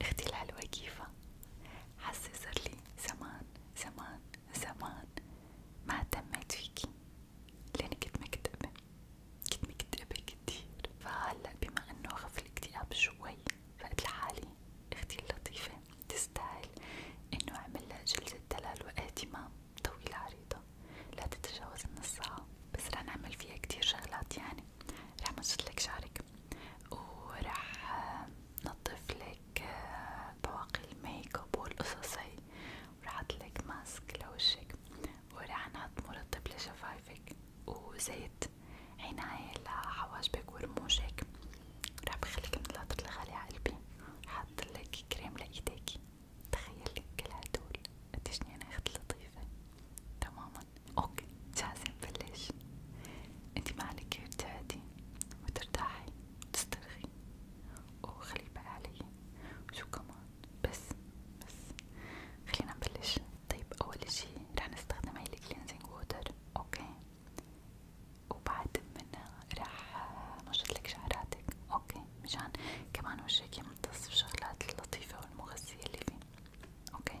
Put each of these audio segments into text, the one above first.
اختي الحلوة كيفها؟ حاسة صارلي زمان زمان زمان ما اهتميت فيكي لأني كنت مكتئبة كنت مكتئبة كتير فهلا بما انه خف الاكتئاب شوي فقلت لحالي اختي اللطيفة تستاهل انه اعملها جلسة دلال واهتمام طويلة عريضة لا تتجاوز النص ساعة بس رح نعمل فيها كتير شغلات يعني رح مسلك شعرك ورح نظف لك بواقي آه، الميك اب والقصص هي ورح احطلك ماسك لوجهك ورح نحط مرطب لشفايفك وزيت عناية لحواجبك ورموشك رح بخليك مثل هدول الغالي عقلبي رح احطلك كريم لإيديك تخيلي كل هدول قديش يعني اخت لطيفة تماما اوكي جاهزة نبلش انتي ما عليك غير تهدي وترتاحي وتسترخي وخلي بقى علي وشو كمان بس بس خلينا نبلش طيب اول شي رح نستخدم هاي الكلينزينج ووتر اوكي وبعد منها رح نشطلك شعراتك اوكي مشان كمان وشك يمتص بشغلات اللطيفة والمغذية اللي فيه اوكي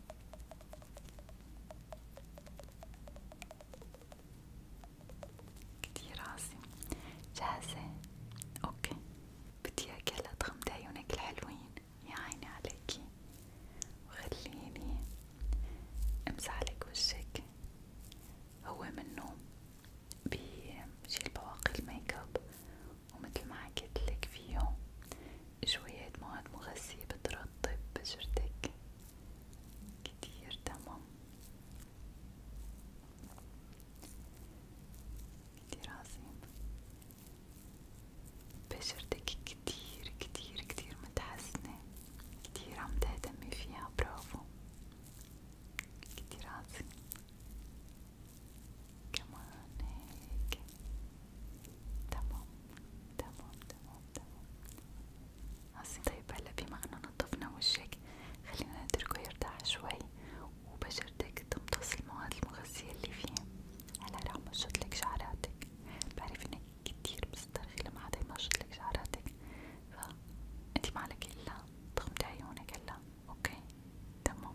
كتير عاصم جاهزة؟ اوكي بدي اياك تغمضي عيونك الحلوين يا عيني عليكي وخليني امسح لك وشك هو منه بشيل بواقي الميك اب ومثل ما حكيت لك فيه شوية مواد مغذية بترطب بشرتك كتير تمام كتير عظيم بشرتك كتير كتير كتير متحسنة كتير عم تهتمي فيها برافو كتير عظيم كمان هيك تمام تمام تمام تمام عظيم طيب هلا بما انه نظفنا وجهك خلينا نتركه يرتاح شوي وبشرتك تمتص المواد المغذية اللي فيه هلا رح مشطلك شعراتك بعرف انك كتير بتسترخي لما حدا يمشطلك شعراتك فانتي معلك الا تغمضي عيونك هلا اوكي تمام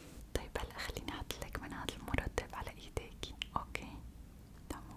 طيب هلا خليني احطلك من هذا المرطب على ايديكي اوكي تمام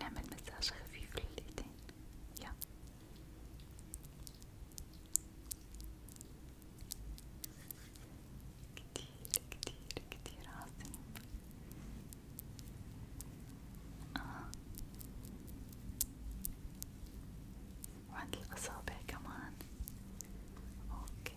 نعمل مساج خفيف لليدين يا كتير كتير كتير عاصم آه. وعند الأصابع كمان اوكي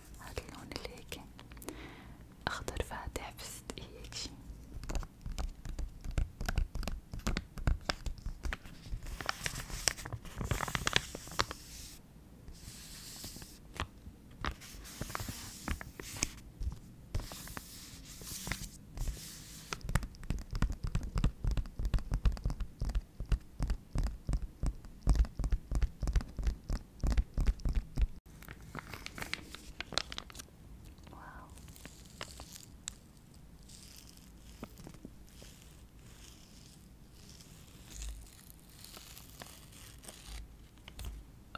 هاد اللون اللي هيك أخضر فاتح في ست هيك شي واو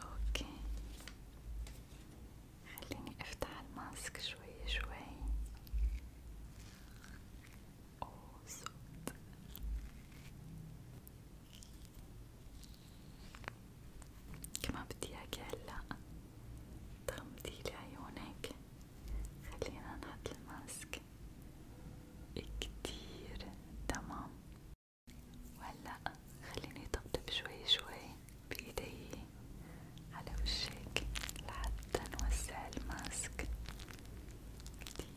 اوكي خليني افتح الماسك شوي شوي أسود كما بدي اياكي هلا تغمضيلي عيونك خلينا نحط الماسك كتير تمام وهلا خليني طبطب شوي شوي بإيدي على وشك لحتى نوسع الماسك كتير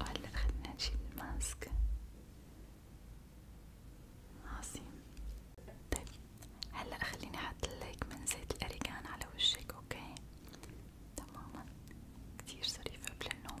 وهلا خلينا نجيب الماسك عظيم طيب هلا خليني احط لك من زيت الاريكان على وجهك اوكي تماما كتير ظريف قبل النوم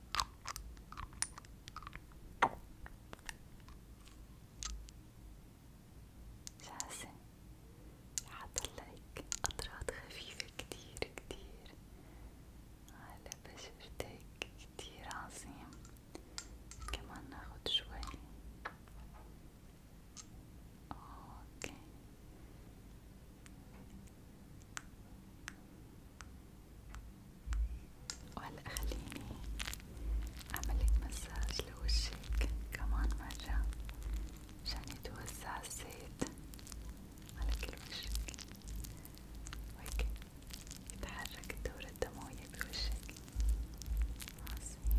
جاهزة حطلعك أطراط خفيفة كتير كتير على بشرتك كتير عظيم كمان ناخد شوي اوكي وهلا خليني أعملك مساج لوجهك كمان مرة مشان يتوزع الزيت على كل وجهك وهيك يتحرك الدورة الدموية بوجهك عظيم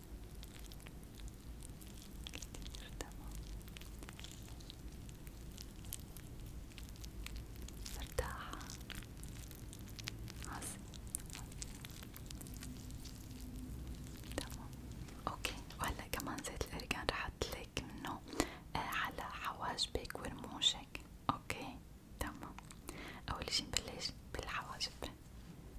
كتير تمام مرتاحة اه، عظيم تمام اوكي وهلا كمان زيت الارجان رح احطلك منه آه، على حواجبك ورموشك اوكي تمام اول شي نبلش بالحواجب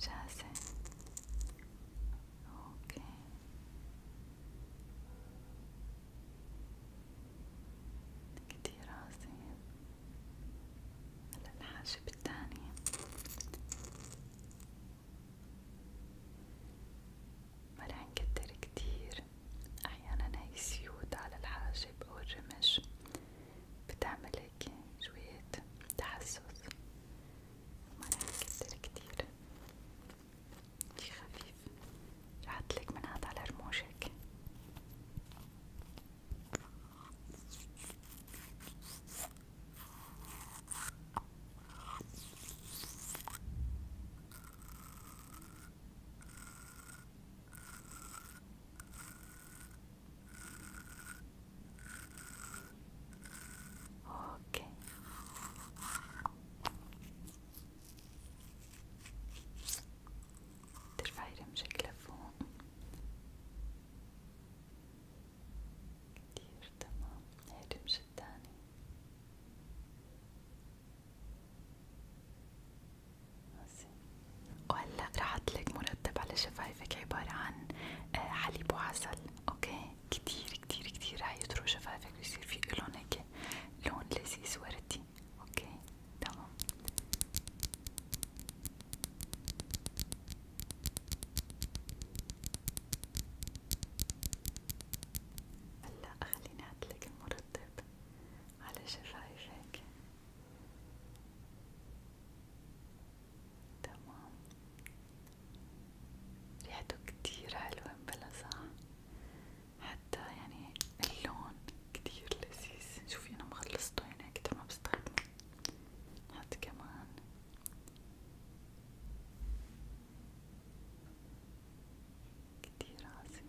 جاهزة اوكي كتير عظيم هلا الحاجب التاني ما رح نكتر كتير احيانا هاي السيوت على الحاجب او الرمش بتعمل هيك شوية تحسس مرة كتير كتير شي خفيف رح أطلق من هاد على رموشك اوكي ترفعي رمشك لفوق كتير تمام هاي رمش التاني وهلا رح احطلك مرة المرتب على شفايفك عبارة عن آه، حليب وعسل اوكي كتير كتير كتير هيطروا شفايفك ويصير في لون هيك لون لذيذ وردي اوكي تمام هلا خليني احطلك المرطب على شفايفك تمام ريحته كتير حلوة بلا صح حتى يعني اللون كتير لذيذ شوفي أنا مخلصته يعني كتير ما بستخدمه نحط كمان كتير عظيم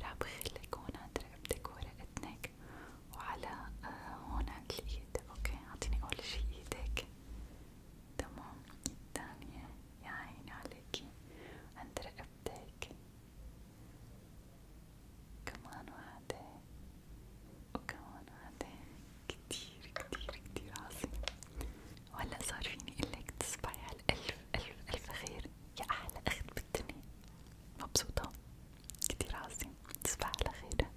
رح بخليك هون عند رقبتك ورقتك وعلى آه، هون عند الايد اوكي اعطيني اول شي ايدك تمام الثانية يا عيني عليكي عند رقبتك كمان واحدة وكمان واحدة كتير كتير كتير عظيم وهلا صار فيني اقلك تصبحي على الف الف الف خير يا احلى اخت بالدنيا مبسوطة كتير عظيم تصبح على خير